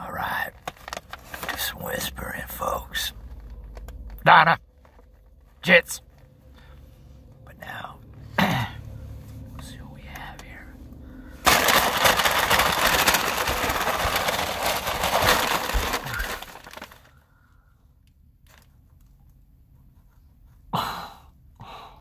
All right. Just whispering, folks. Donna. Jits. But now, see what we have here.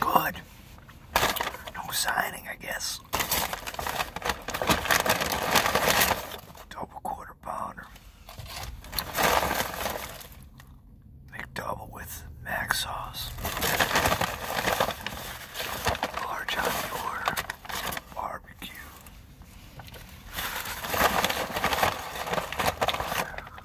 Good. No signing, I guess. Double quarter pounder. McDouble with mac sauce. Large on Barbecue.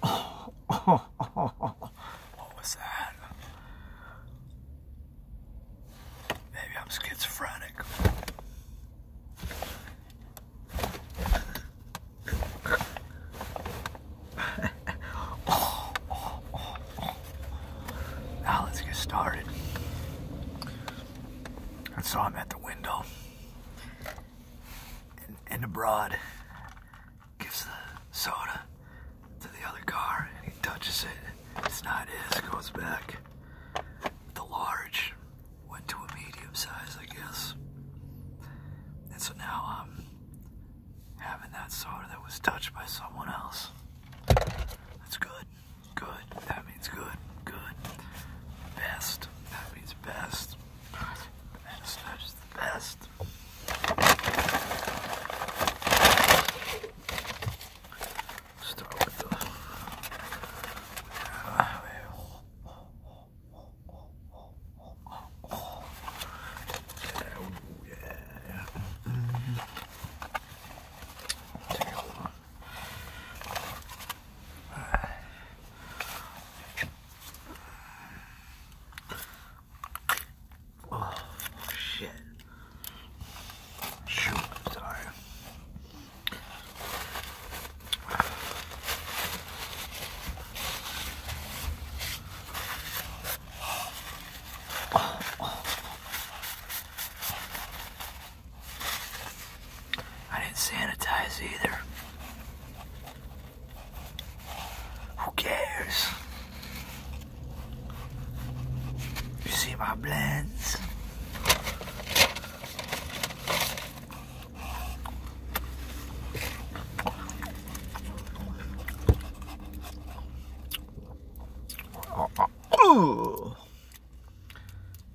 What was that? Maybe I'm schizophrenic. Now let's get started. I saw him at the window and, and abroad gives the soda to the other car and he touches it. It's not his, goes back. The large went to a medium size, I guess. And so now I'm having that soda that was touched by someone else. That's good. Good. That means good. Good. Best. That means best. That's, that's the best. Start with the. Yeah, yeah. Mm -hmm. Take one. Uh, Oh, shit. Shoot, sorry. Oh, oh. I didn't sanitize either. Who cares? You see my blends?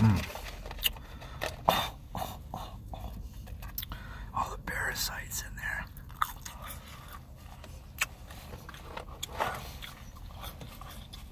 Mm. All the parasites in there.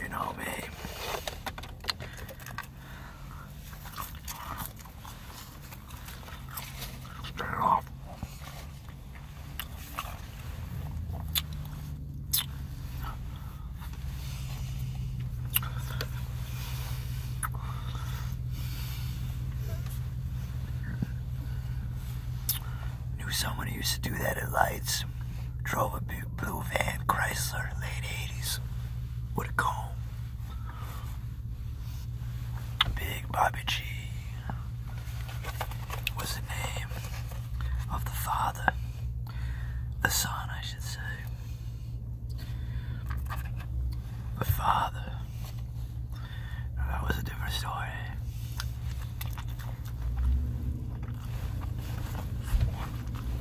You know me. Straight off. Knew someone used to do that at lights. Drove a blue van Chrysler, late 80s. Would have gone. Big Bobby G was the name of the father, the son, I should say. The father. that was a different story.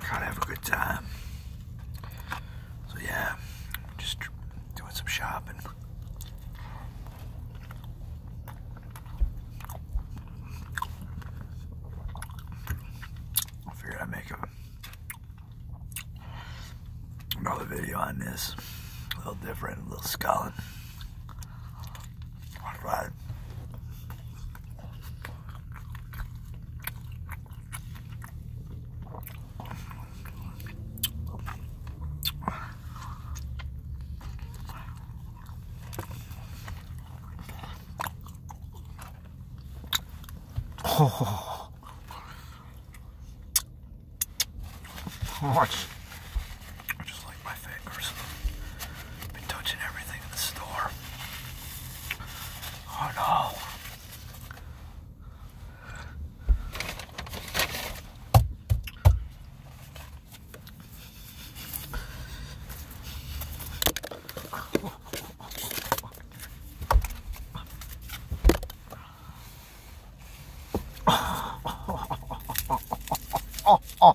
gotta have a good time. So yeah, just doing some shopping. I figured I'd make another video on this. A little different, a little sculling. Alright. Oh. Watch. I just like my fingers. Been touching everything in the store. Oh no. Oh, oh, oh.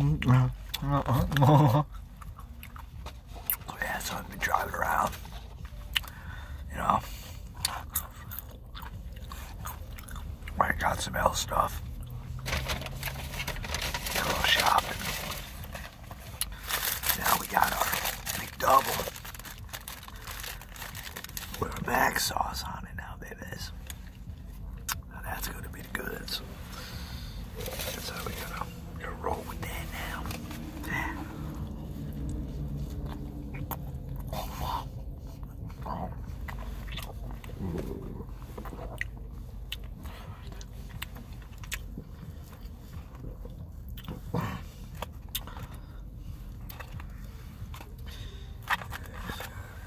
yeah, so I've been driving around, you know. I got some L stuff. a little shopping. Now we got our McDouble with mac sauce on it now, baby that's gonna be the goods. So we're gonna, we gonna roll with that now.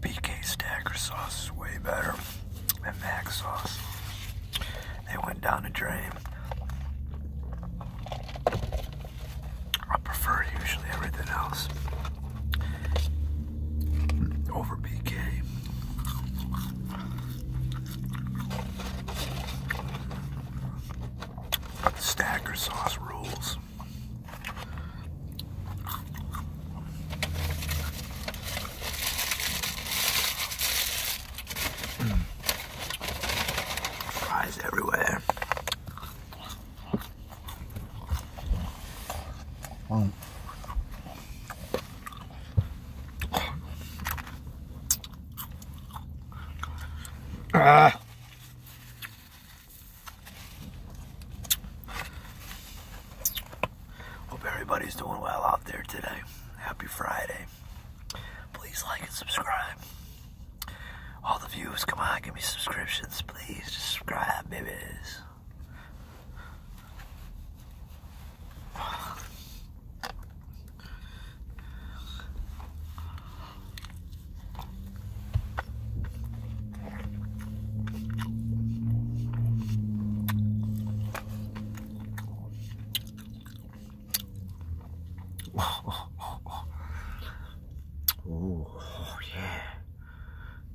BK Stacker sauce is way better than Mac sauce. They went down the drain. I prefer usually everything else over BK. But the Stacker sauce rules. Fries everywhere. Ah. Hope everybody's doing well out there today. Happy Friday. Please like and subscribe. All the views, come on, give me subscriptions, please. subscribe, babies. Oh, yeah.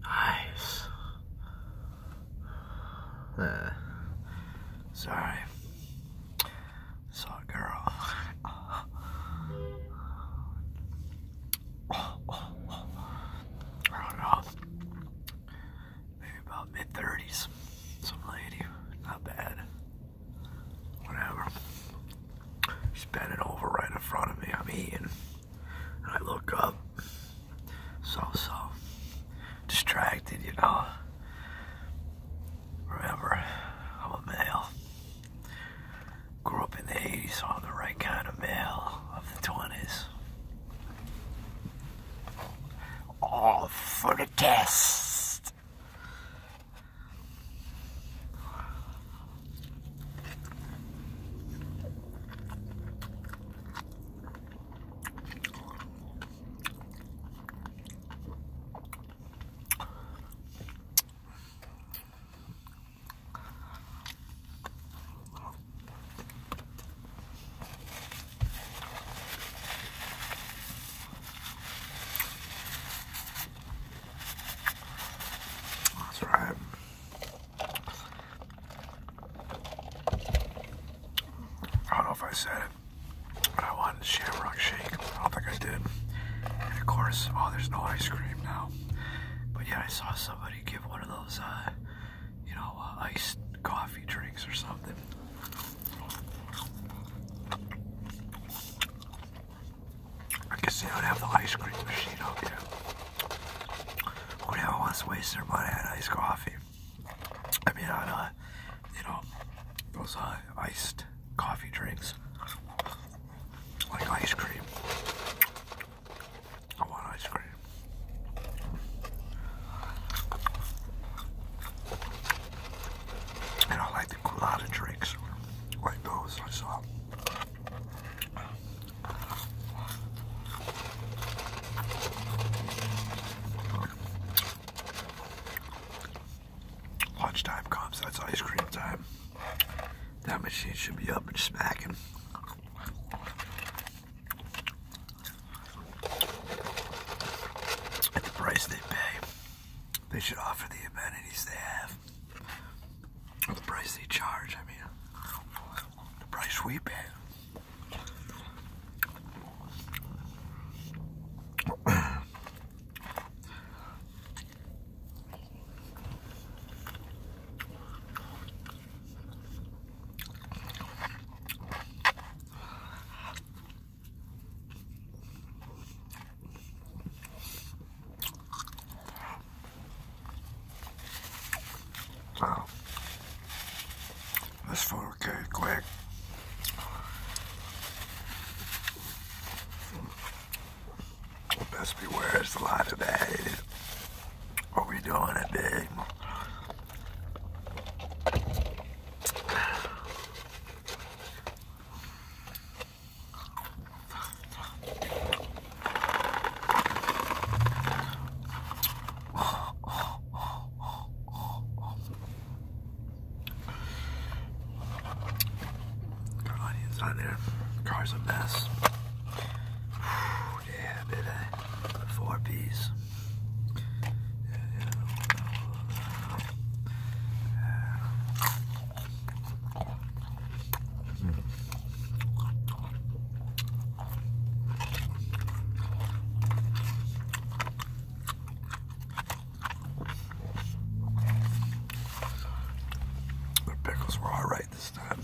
Nice. Uh, sorry. Sorry, girl. I don't know, maybe about mid 30s. Some lady, not bad. Whatever. She's over right in front of me. I'm eating. And I look up. So, so. Distracted, you know. Remember, I'm a male. Grew up in the 80s, on the right kind of male of the 20s. All for the test. That's right. I don't know if I said it, but I wanted shamrock shake. I don't think I did. of course, oh, there's no ice cream now. But yeah, I saw somebody give one of those, uh, you know, uh, iced coffee drinks or something. I guess they don't have the ice cream machine out there. Whatever wants to waste their money on iced coffee. I mean, on, uh, you know, those uh, iced coffee drinks like ice cream. I want ice cream. And I like the colada drinks, like those I saw. Lunchtime comes, that's ice cream time. That machine should be up and smacking. At the price they pay, they should offer the amenities they have. the price they charge, I mean, the price we pay. Wow. Oh. This photo came quick. Best beware, it's a lot of added. What are we doing today? Got onions on there. Car's a mess. Whew, yeah, baby. Four piece. The pickles were alright this time.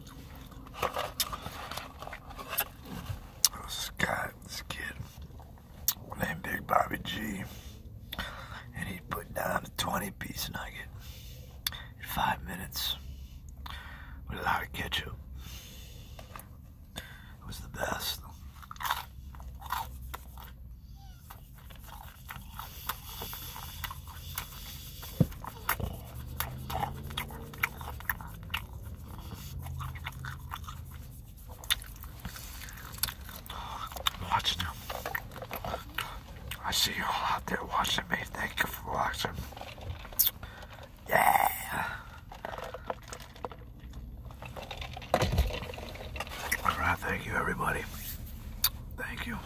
This guy, this kid, named Big Bobby G, and he'd put down a 20 piece nugget in five minutes with a lot of ketchup. It was the best. Watching you. I see you all out there watching me. Thank you for watching. Yeah. All right. Thank you, everybody. Thank you.